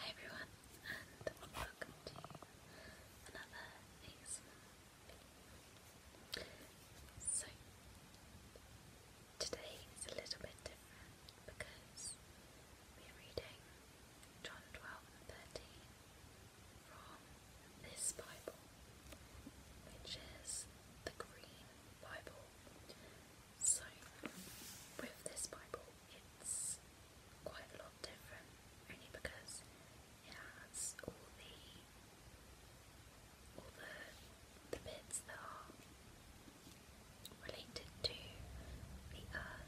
Hi everyone, and welcome to another ASMR So, today is a little bit different because we're reading John 12 from this Bible, which is the Green Bible. So, with this Bible, it's quite a lot different, only because it has all the all the the bits that are related to the earth um,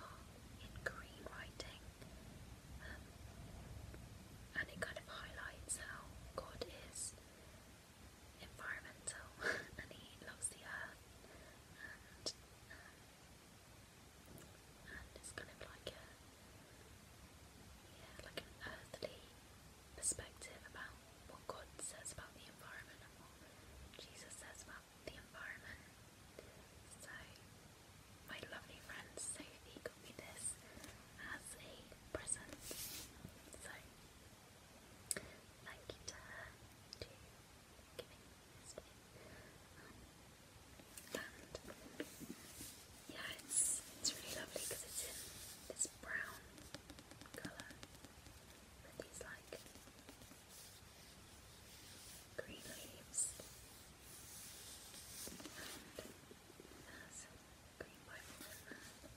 are in green writing, um, and it kind of highlights how God is environmental and he loves the earth and um, it's kind of like yeah, like an earthly perspective about what God says about the environment and what Jesus says about the environment. So my lovely friend Sophie got me this as a present. So Thank you to giving um, and yeah, it's it's really lovely because it's in this brown colour with these like green leaves. And there's uh, green Bible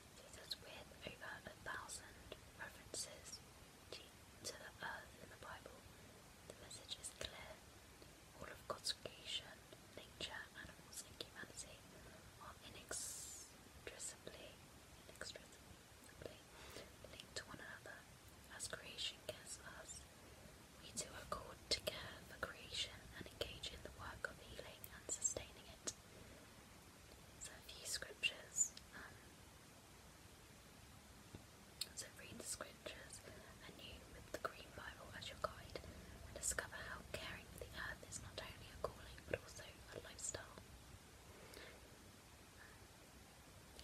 Jesus, with over a thousand references to the earth in the Bible, the message is clear. All of God's creation, nature, animals, and humanity are inextricably, linked to one another. As creation cares for us, we too are called for creation and engage in the work of healing and sustaining it. So a um, read the scriptures anew with the Green Bible as your guide discover how caring for the earth is not only a calling but also a lifestyle.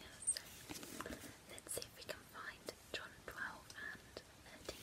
Yeah, let's see if we can find John 12 and 13.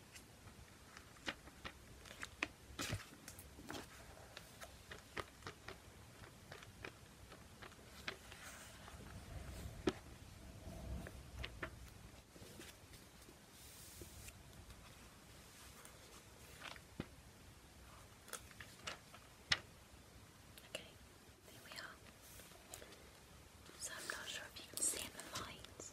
Okay, there we are. So I'm not sure if you can stand the lights.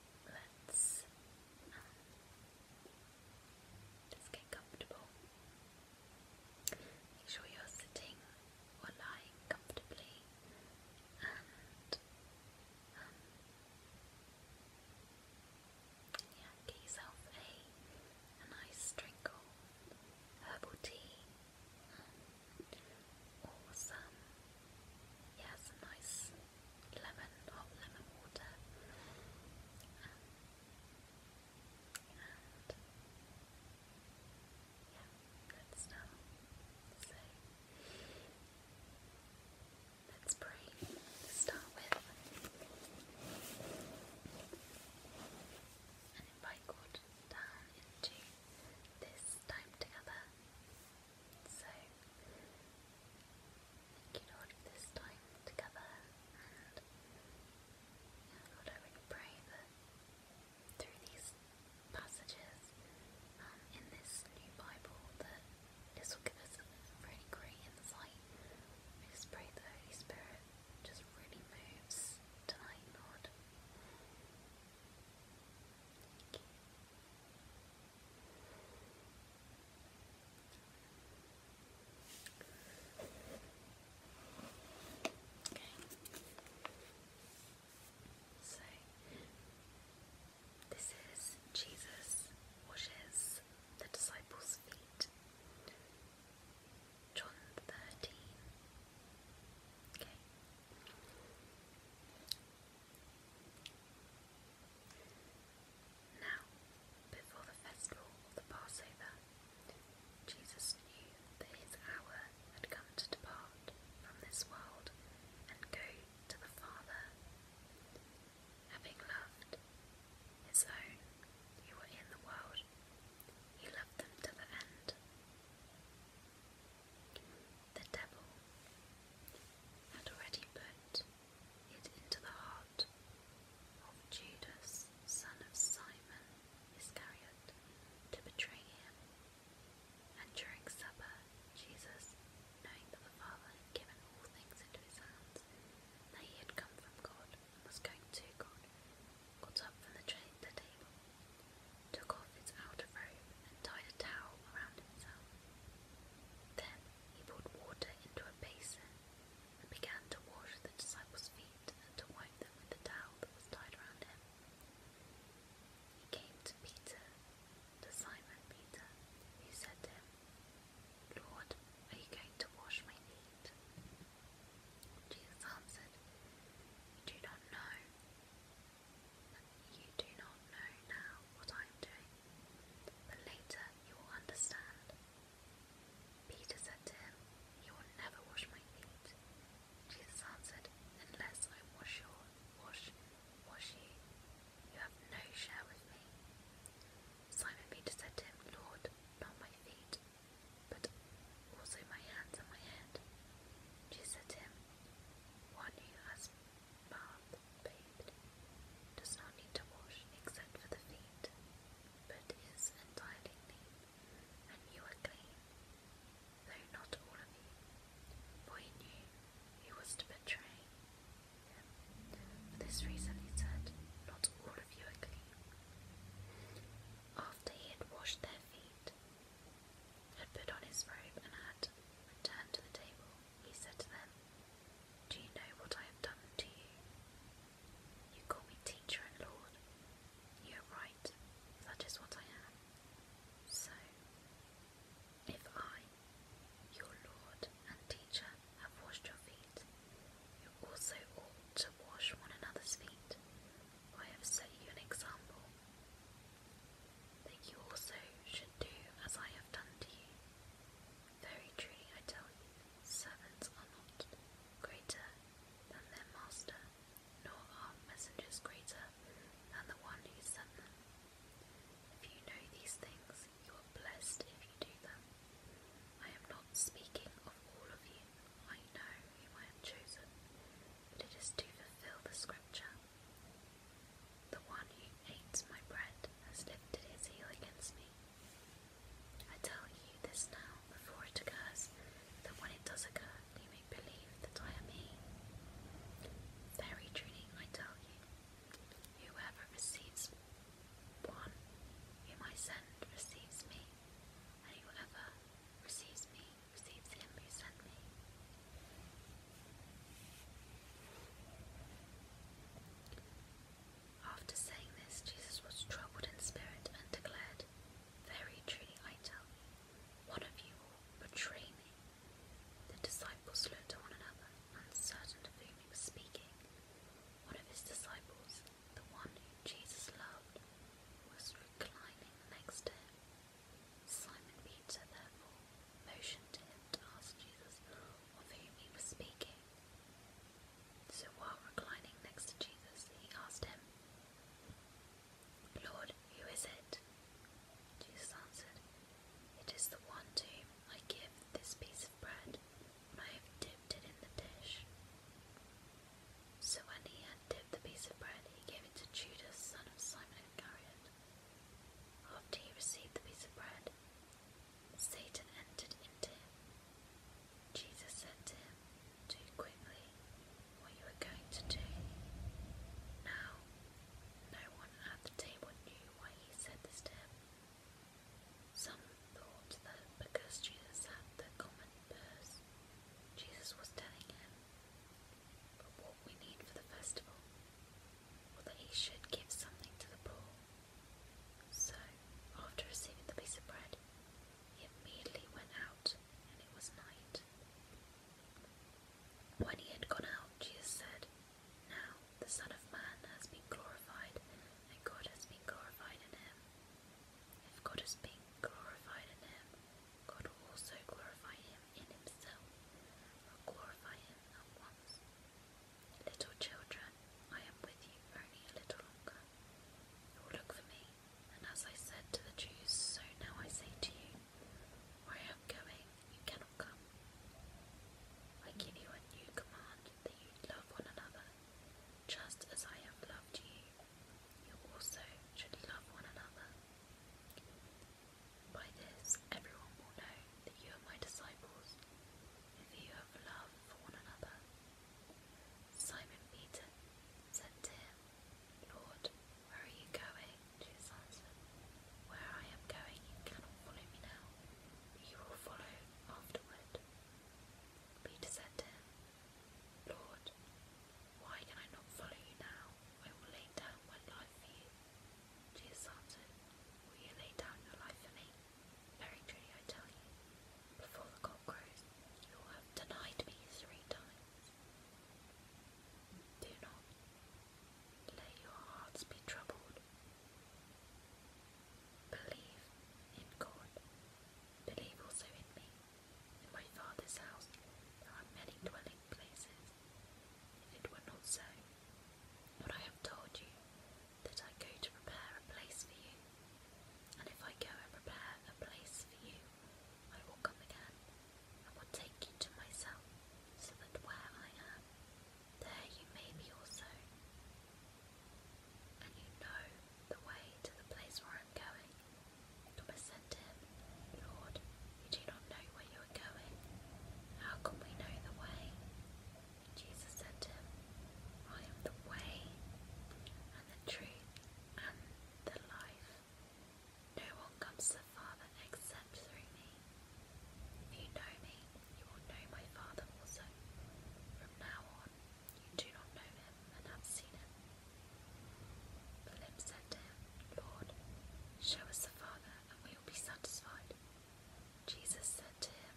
let's um, get comfortable. Make sure you're sitting or lying comfortably and um, yeah, get yourself a, nice drink or herbal tea um, Yes, nice lemon, hot lemon water. Um, and yeah, good stuff. let's pray start with and invite God down into this time together. So thank you Lord for this time together and yeah, Lord pray through these passages um, in this new Bible this will give us really great insight. I just pray the Holy Spirit just really moves tonight, Lord. Thank you. So this is Jesus washes the disciples' feet. John 13. Okay. Now, before the festival of the Passover, Jesus knew that his hour had come to depart from this world and go to the Father. Having loved his own who were in the world, he loved them to the end. The devil had already put it into the heart of Judas, son of Simon Iscariot, to betray him. And during supper, Jesus, knowing that the Father had given all things into his hands, that he had come from God and was going to God, got up from the, tra- the table, took off his outer robe, and tied a towel around himself. Then he poured water into a basin and began to wash the disciples' feet and to wipe them with the towel that was tied around him. He came to Peter, to Simon Peter, He said to him, Lord, are you going to wash my feet? Jesus answered, You not know you do not know now what I am doing, but later you will understand. Peter said to him, You will never wash my feet. Jesus answered, Unless I wash your wash wash you, you have no share with me. Simon Peter said to him, Lord, not my feet, but also my hands and my head. Jesus said to him, One you has bath bathed does not need to wash except for the feet, but is entirely clean, and you are clean, though not all of you, for he knew he was to betray him. For this reason he said, Not all of you are clean. After he had washed their feet, had put on his robe and had returned to the table, he said to them, Do you know what I have done to you? You call me teacher and Lord. You are right, that is what I am. So, if I, your Lord and teacher, have washed your feet, you also ought to wash one another's feet. I have set you an example, that you also should do as I have done to you. Very truly I tell you, servants are not greater than their master, nor are messengers greater than the one who sent them. If you know these things, you are blessed if you do them. I am not speaking of all of you, I know whom I have chosen, but it is to fulfill the scripture. The one who hates my bread has lifted his heel against me. I tell you this now before it occurs, that when it does occur, you may believe that I am he. Very truly, I tell you, whoever receives one whom I send receives me, and whoever receives me receives him who sent me. After saying this, Jesus was troubled in spirit and declared, Very truly I tell you, one of you will betray me. The disciples looked at one another, uncertain of whom he was speaking. One of his disciples, the one whom Jesus loved, was reclining next to him. Simon Peter, therefore, motioned to him to ask Jesus of whom he was speaking. So while reclining next to Jesus, he asked him, Lord, who is it? Jesus answered, It is the one to whom I give this piece of bread when I have dipped it in the dish. So when he had dipped the piece of bread, he gave it to Judas, son of Simon Iscariot. After he received the piece of bread, Satan entered into him. Jesus said to him, Do quickly what you are going to do. Now, no one at the table knew why he said this to him. Some thought that because Jesus had the common purse, Jesus was telling him, But what we need for the festival that he should give something to the poor. So, after receiving the piece of bread, he immediately went out, and it was night. When he had gone out, Jesus said, Now the Son of Man has been glorified, and God has been glorified in him. If God has been glorified in him, God will also glorify him in himself, or glorify him at once. Little children, I am with you only a little longer. look for me, and as I said to the Jews, so now I say to you, where I am going, you cannot come. I give you a new command that you love one another, just as I have loved you. You also should love one another. By this, everyone will know that you are my disciples, if you have love for one another. Simon Peter said to him, Lord, where are you going? Jesus answered, Where I am going, you cannot follow me now, you will follow afterward. Peter said to him, Lord, why can I not follow you now? I will lay down my life for you. Jesus answered, will you lay down your life for me? Very truly I tell you, before the cock crows, you will have denied me three times. Do not let your hearts be troubled. Believe in God. Believe also in me. In my Father's house are many dwelling places. If it were not so, but I have told you that I go to prepare a place for you, and if I go and prepare a place for you, I will come again and will take you to myself, so that where I am, there you may be also. And you know the way to the place where I am going. Thomas said to him, Lord, we do not know where you are going. How can we know the way? Jesus said to him, I am the way and the truth and the life. No one comes to the Father except through me. If you know me, you will know my Father also. From now on, you do not know him and have seen him. Philip said to him, Lord, show us the Father, and we will be satisfied. Jesus said to him,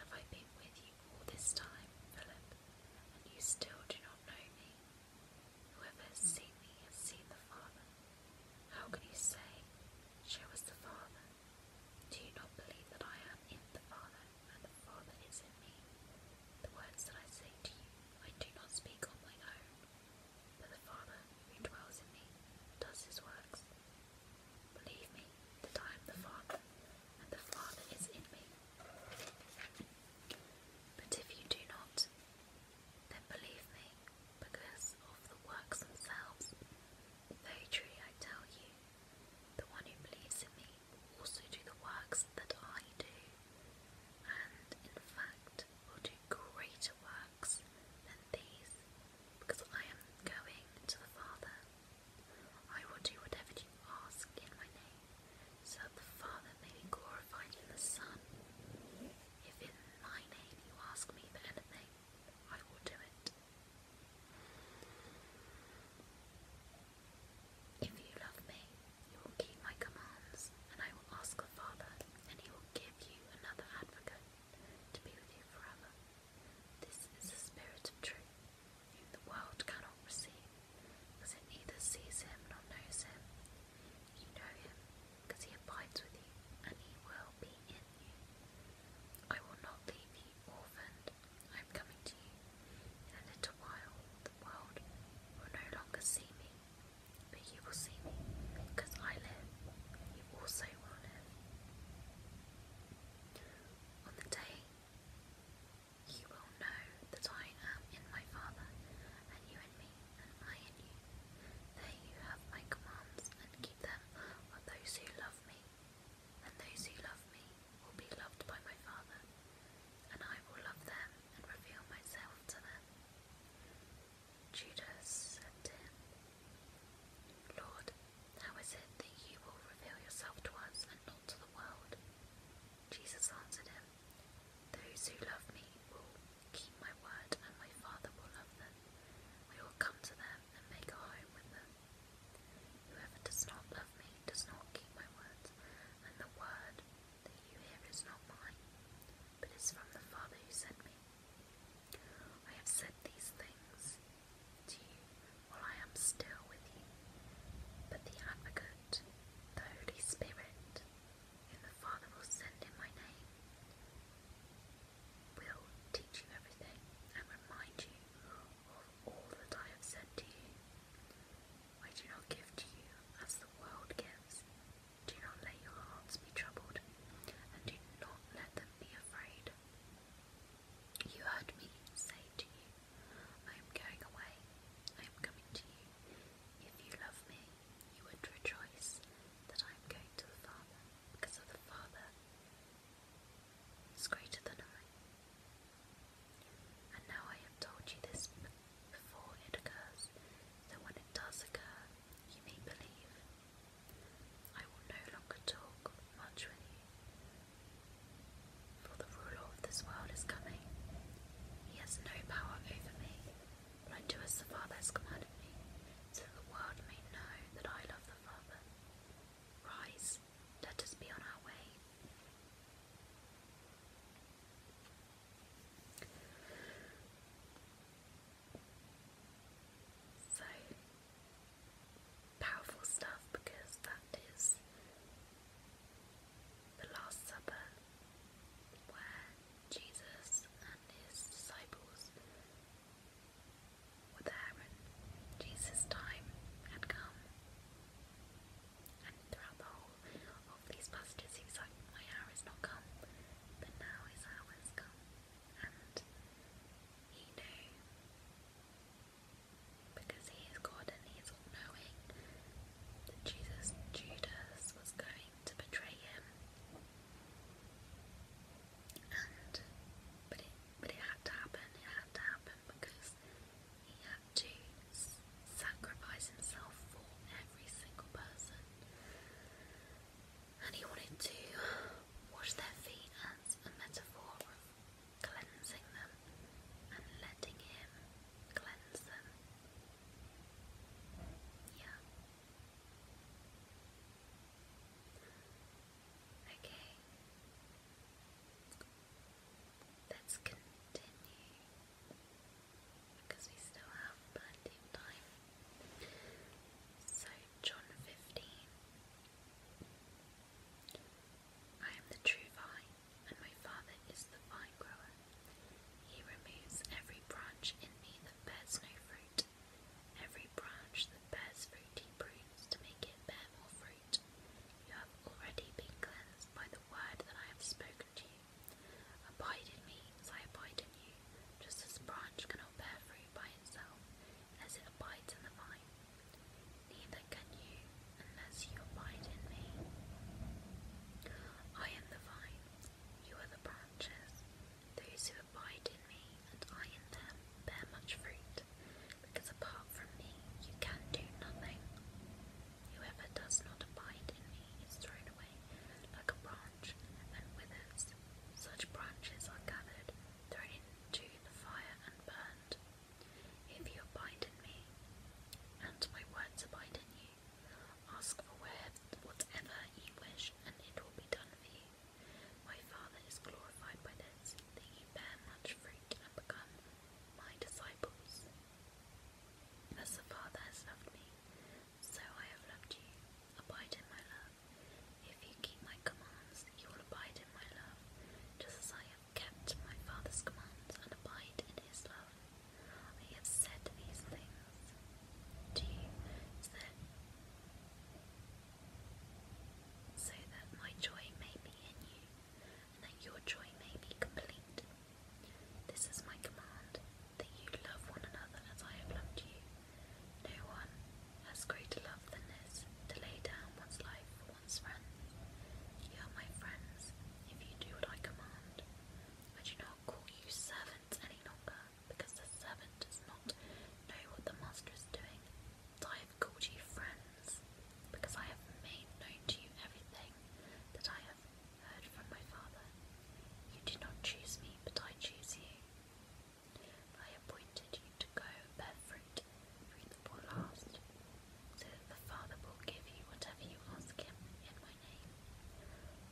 Have I been with you all this time, Philip, and you still do not know me? Whoever has seen me has seen the Father. How can you say, 'Show us the Father? Do you not believe that I am in the Father, and the Father is in me? The words that I say to you, I do not speak on my own, but the Father who dwells in me does his works. Believe me that I the Father, and the Father is in me. But if you do not, then believe me, because of the works themselves. Very truly I tell you, the one who believes in me will also do the works that I do, and in fact will do greater works works than these, because I am going to the Father. I will do whatever you ask in my name, so that the Father may be glorified in the Son. If in my name you ask me for anything, I will do it. If you love me, you will keep my commands, and I will ask the Father, and he will give you another advocate to be with you forever. This is the spirit of truth, the world cannot receive, because it neither sees him nor knows him. You know him, because he abides with you, and he will be in you. I will not leave you orphaned. I am coming to you. In a little while, the world will no longer see me, but you will see me, because I live. You also will live. On the day you will know that I am in my Father, and you in me, and I in you. There you have my commands, and keep them of those who love me. And those who love me will be loved by my Father, and I will love them and reveal myself to them. Judas said to him, Lord, how is it that you will reveal yourself to us and not to the world? Jesus answered him, Those who love me will keep my word, and my Father will love them. We will come to them and make a home with them. Whoever does not love me does not keep my word. and the word that you hear is not mine, but is from the Father who sent me. I have said these things to you while I am still with you, but the Advocate, the Holy Spirit, whom the Father will send in my name, will teach you everything and remind you of all that I have said to you. I do not give to you as the world gives. Do not let your hearts be troubled, and do not let them be afraid. You heard me say to you, I am going away, I am coming to you. If you love me, you would rejoice that I am going to the Father, because of the Father is greater than I. And now I have told you this before it occurs, that when it does occur, you may believe. I will no longer talk much with you, for the ruler of this world is coming. He has no power over me, but I do as the Father has commanded me, so that the world may know that I love the Father. Rise, let us be on our way. So powerful stuff because that is the Last Supper where Jesus and his disciples were there and Jesus' time had come. And throughout the whole of these passages he was like, My hour is not come, but now his hour has come and he because he is God and he is all knowing Jesus Judas was going to betray him. And but it but it had to happen, it had to happen because he had to sacrifice himself for every single person. And he wanted to wash their feet a metaphor of cleansing them and letting Him cleanse them. Yeah. Okay. Let's continue because we still have plenty of time. So, John 15 I am the true vine, and my Father is the vine grower. He removes every branch in me that bears no fruit. Every branch that bears fruit he prunes to make it bear more fruit. You have already been cleansed by the word that I have spoken to you. Abide in me as I abide in you, just as branch cannot bear fruit tree by itself as it abides in the vine. Neither can you unless you abide in me. I am the vine, you are the branches. Those who abide in me and I in them bear much fruit, because apart from me you can do nothing. Whoever does not abide in me is thrown away like a branch and withers. Such branches are gathered, thrown into to the fire and burned. If you abide in me, and my words abide in you, ask for whatever you wish, and it will be done for you. My Father is glorified by this, that you bear much fruit and become my disciples. As the Father has loved me, so I have loved you. Abide in my love. If you keep my commands, you will abide in my love, just as I have kept my Father's commands and abide in his love. I have said these things to you so that, so that my joy may be in you, and that your joy may be complete. This is my command, that you love one another as I have loved you. No one has greater love than this to lay down one's life for one's friends. You are my friends if you do what I command. I do not call you servants any longer because the servant does not know what the master is doing. But I have called you friends because I have made known to you everything that I have heard from my Father. You did not choose me, but I choose you. I appointed you to go bear fruit, fruit that will last, so that the Father will give you whatever you ask him in my name.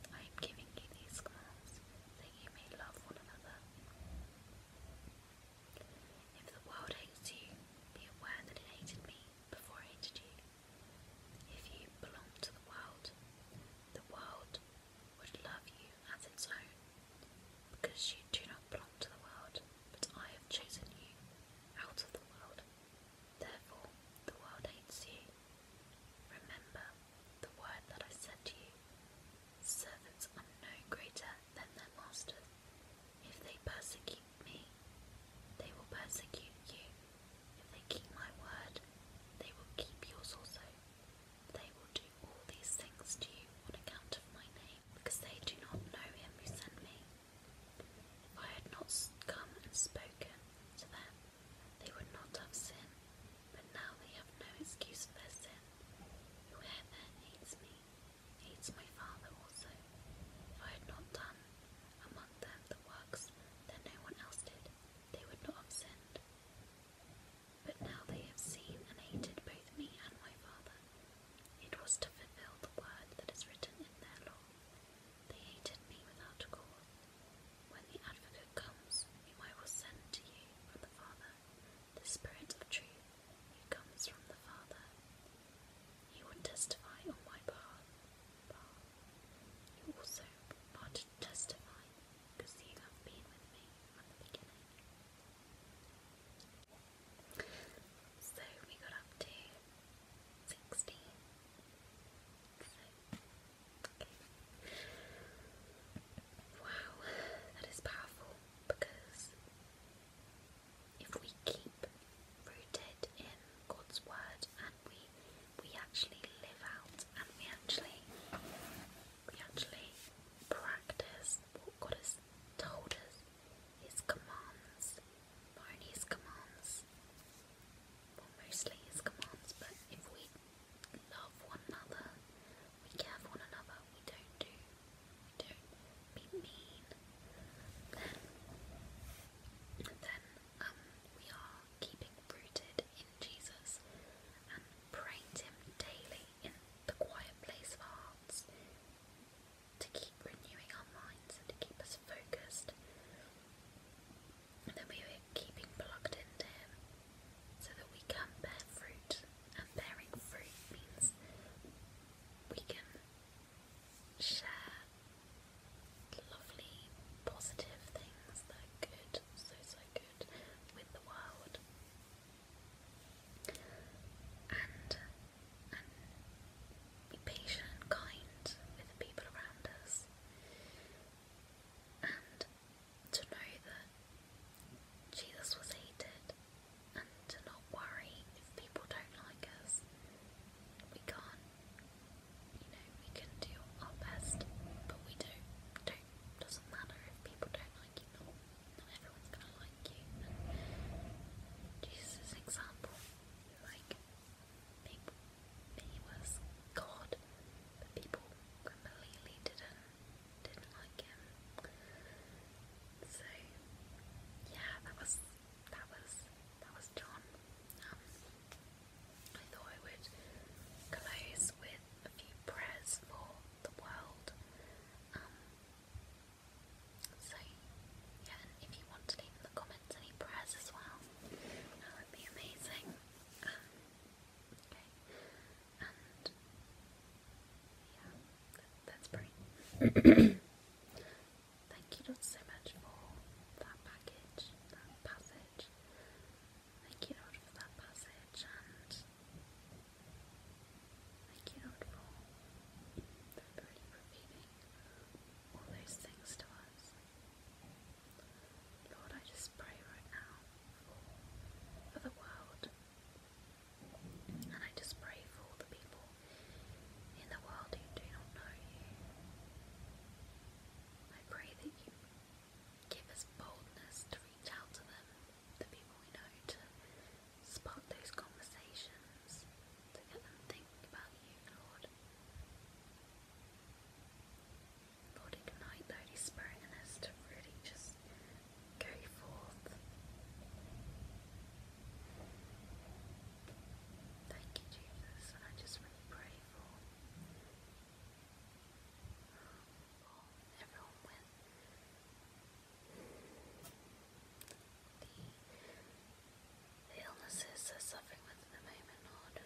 I am giving you these commands, that you may love one another. If the world hates you, be aware that it hated me before it hated you. If you belong to the world, the world would love you you as its own, because you do not belong to the world, but I have chosen you out of the world. Therefore, the world hates you. Remember the word that I said to you Servants are no greater than their masters. If they persecute me, they will persecute you. If they keep my word, they will keep yours also. They will do all these things to you on account of my name because they do not know him who sent me. If I had not come and spoken to them, they would not have sinned, but now they have no excuse for their sin. Whoever hates me hates my Father also. If I had not done among them the works that no one else did, they would not have sinned. But now they have seen and hated both me and my Father. It was to fulfill the word that is written in their law. They hated me without cause. When the Advocate comes, whom I will send to you from the Father, the Spirit of truth, who comes from the Father, he will testify on my behalf. You also are testify because you have been with me from the beginning. So we got up to 16. Wow, that is powerful because if we keep rooted in God's word and we we actually live out and we actually we actually practice what God has us, told us his commands, Barney's commands, mostly his commands, but if we love one another, we care for one another, we don't do, we don't be mean, then, then um, we are keeping rooted in Jesus and praying him daily the quiet place of hearts, to keep renewing our minds and to keep us focused, and then we are keeping plugged into Him so that we can bear fruit. And bearing fruit means we can share lovely, positive things that are good, so so good, with the world and, be patient and kind with the people around us, and to know that Jesus was hated, and to not worry if people don't like us. We can't, you know, we can do our best, but we don't. Don't doesn't matter if people don't like you. Jesus' example, like people, he was God, but people completely didn't didn't like him. So yeah, that was that was that was John. Um, I thought I would close with a few prayers for the world. Um, so, yeah, if you want to leave in the comments any prayers as well, that would be amazing. Um, okay, and yeah, that's pretty. Thank you so much for that package, that passage. Thank you Lord for that passage and Thank cannot fall. They're all those things to us. Lord, I just pray right now for the world. And I just pray for all the people in the world who do not know you. I pray that you give us boldness to reach out to them the people we know to spot those conversations, to get them thinking about you, Lord. Lord, ignite the Holy in us to really just go forth. Thank you, Jesus, and I just really pray for everyone the, the illnesses they're suffering with at the moment, Lord. And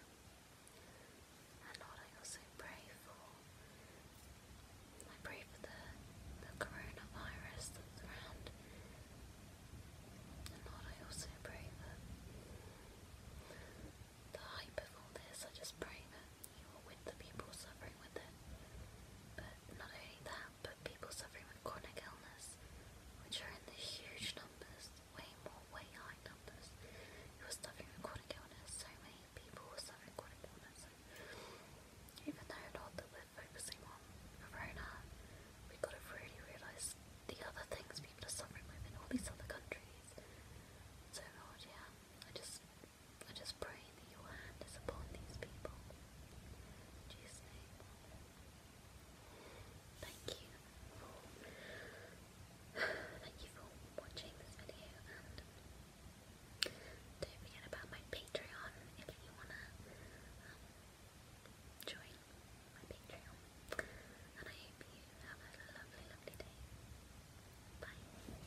Lord, I also pray for, I pray for the, the coronavirus that's around. And Lord, I also pray that the hype of all this, I just pray that you are with the people suffering with it. But not only that, but people suffering with chronic illness, which are in the huge numbers, way more, way high numbers, who are suffering with chronic illness. So many people are suffering chronic illness. even though not that we're on Corona, we got to really realise the other things people are suffering with in all these other countries. So, yeah, I just I just pray that your hand is upon these people. In Jesus' name. Thank you for thank you for watching this video and don't forget about my Patreon if you wanna um, join my Patreon. And I hope you have a lovely, lovely day. Bye.